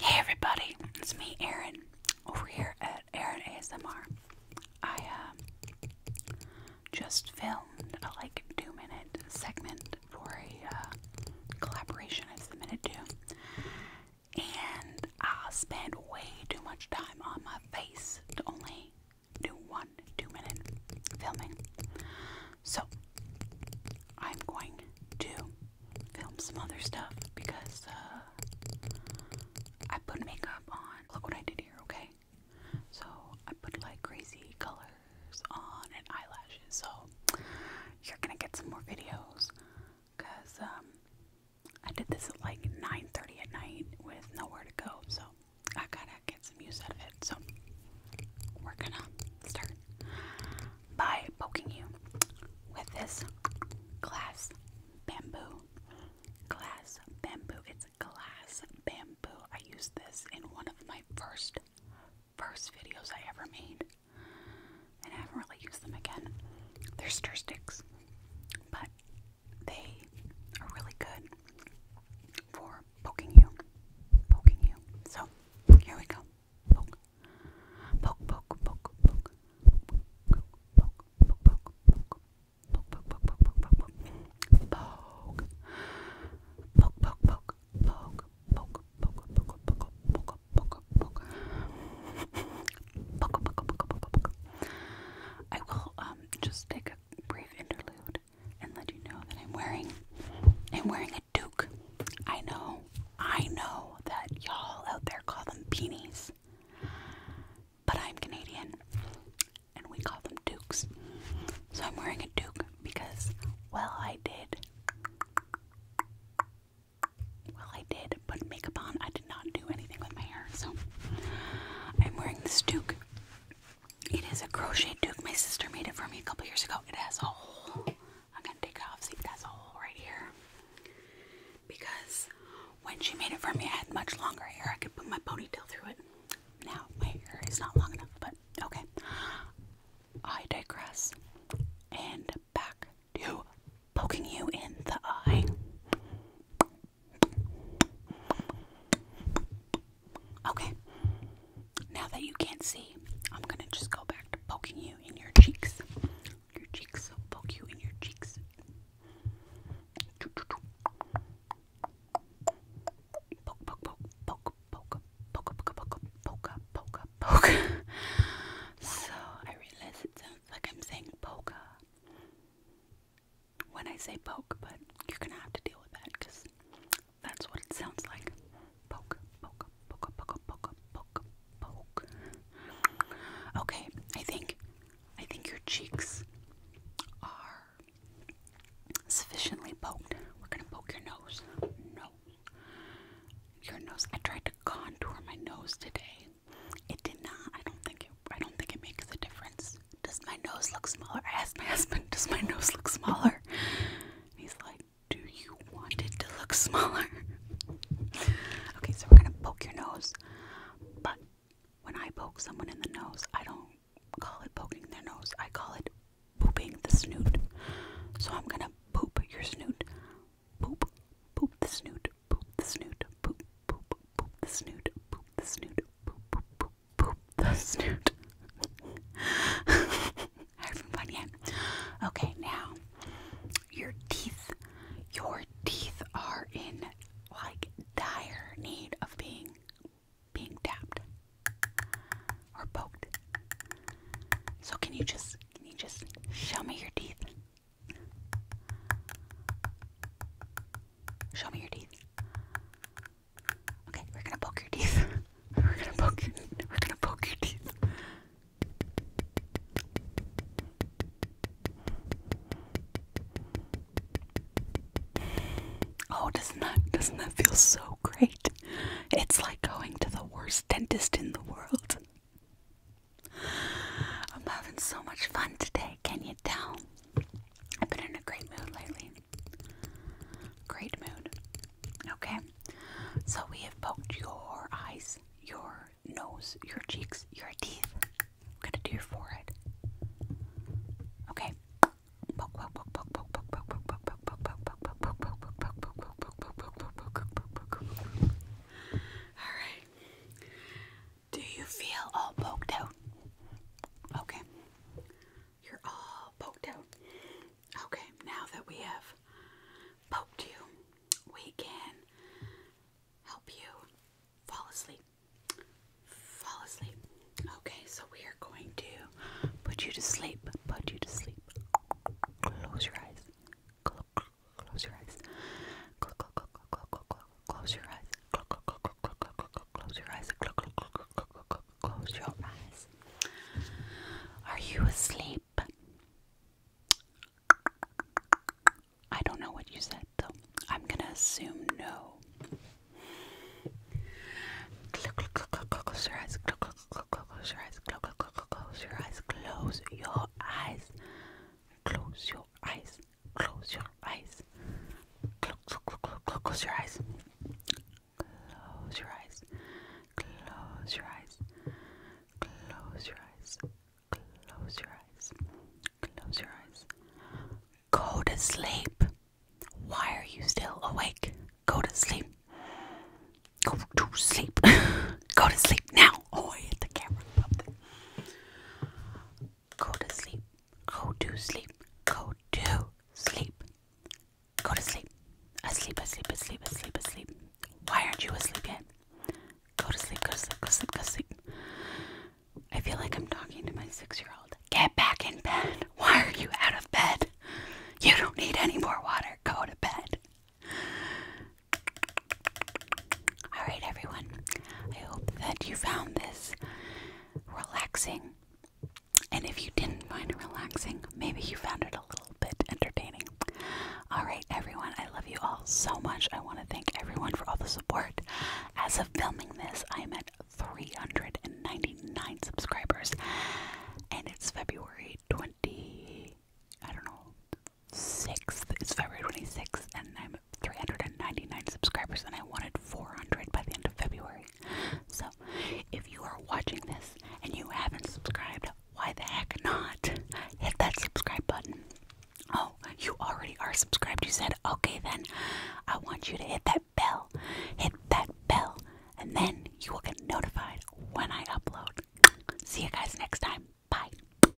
Hey everybody, it's me Aaron over here at Erin ASMR. I um, just filmed a like two minute segment for a uh, collaboration I submitted to, and I spent way too much time on my face to only do one two minute filming. So I'm going to film some other stuff because uh, I put makeup on. Look what I did here, okay? So I put like crazy colors on and eyelashes. So you're gonna get some more videos because um, I did this at like 9:30 at night with nowhere to go. So I gotta get some use out of it. So we're gonna start by poking you with this glass bamboo. Glass bamboo. It's glass bamboo. I used this in one of my first first videos I ever made. And I haven't really used them again. They're stir sticks. But they are really good for poking you. Poking you. So here we go. Poke, poke, poke, poke. Poke, poke, poke, poke, poke. Poke, poke, poke, poke, poke, poke. Poke. Poke, poke, poke, poke. Poke, poke, poke, poke, poke, poke, poke. Poke, poke, poke, poke, poke. I will um just take a brief interlude and let you know that I'm wearing I'm wearing a duke. I know, I know that y'all out there call them beanies, but I'm Canadian and we call them dukes. So I'm wearing a duke because, well, I did. Well, I did put makeup on. I did not do anything with my hair, so I'm wearing this duke. It is a crochet duke. My sister made it for me a couple years ago. It has a hole. I'm gonna take it off. See, it has a hole right here. Because when she made it for me, I had much longer hair. I could put my ponytail through it. Now my hair is not long enough, but okay. I digress. And back to poking you in the eye. Okay. Now that you can't see, I'm gonna just go back to poking you in your cheeks. Your cheeks. I'll poke you in your cheeks. Poke, poke, poke, poke, poke, poke, poke, poke, poke, poke, poke. So I realize it sounds like I'm saying polka when I say poke, but you're gonna have to deal with that because that's what it sounds like. Poke, poke, poke, poke, poke, poke, poke. Okay, I think I think your cheeks are sufficiently poked. We're gonna poke your nose. Nose. Your nose. I tried to contour my nose today. It did not. I don't think it I don't think it makes a difference. Does my nose look smaller? I asked my husband, Does my nose look smaller? he's like, Do you want it to look smaller? okay, so we're gonna poke your nose. But when I poke someone in the nose, I don't call it poking their nose, I call it pooping the snoot. So I'm gonna poop your snoot. Poop, poop the snoot, poop the snoot, poop, poop, poop the snoot, poop the snoot, poop, poop, poop, poop, the snoot. Hard from Bunyan. Okay, now your teeth, your teeth are in like dire need of being being tapped or poked. So can you just can you just show me your teeth? Show me your teeth. Okay, we're gonna poke your teeth. we're gonna poke we're gonna poke your teeth. Oh, doesn't that doesn't that feel so great? It's like going to the worst dentist in the world. I'm having so much fun today, can you tell? I've been in a great mood lately. Great mood. Okay, so we have poked your eyes, your nose, your cheeks, your teeth. I'm gonna do your forehead. Okay. Poke, do you feel all poked out? Okay. You're all poked out. Okay, now that we have poked you, we can help you fall asleep. Fall asleep. Okay, so we are going to put you to sleep. Put you to sleep. Close your eyes. Close your eyes. Close your eyes. Close your eyes. Close your eyes. Are you asleep? I don't know what you said, though. I'm gonna assume no. Close your eyes. Close your eyes. Close your eyes. Close your eyes. Close your eyes. Close your eyes close your eyes. Close, close, close, close your eyes. Close your eyes. Close your eyes. Close your eyes. Close your eyes. Close your eyes. Go to sleep. Why are you still awake? Go to sleep. Go to sleep. Go to sleep now. Oh, I hit the camera. Go to sleep. Go to sleep. Go to sleep. Go to sleep. Asleep, asleep, asleep, asleep, asleep. Why aren't you asleep yet? Go to sleep, go to sleep, go to sleep, go to sleep. I feel like I'm talking to my six year old. Get back in bed. Why are you out of bed? You don't need any more water. Go to bed. Alright, everyone, I hope that you found this relaxing. And if you didn't find it relaxing, maybe you found it a little bit entertaining. Alright, everyone, I love you all so much. I want to thank everyone for all the support. As of filming this, I am at 399 subscribers, and it's February 20. I don't know, Sixth, It's February 26th, and I'm 399 subscribers, and I wanted 400 by the end of February. So, if you are watching this and you haven't subscribed, why the heck not? Hit that subscribe button. Oh, you already are subscribed. You said, okay, then I want you to hit that bell. Hit that bell, and then you will get notified when I upload. See you guys next time. Bye.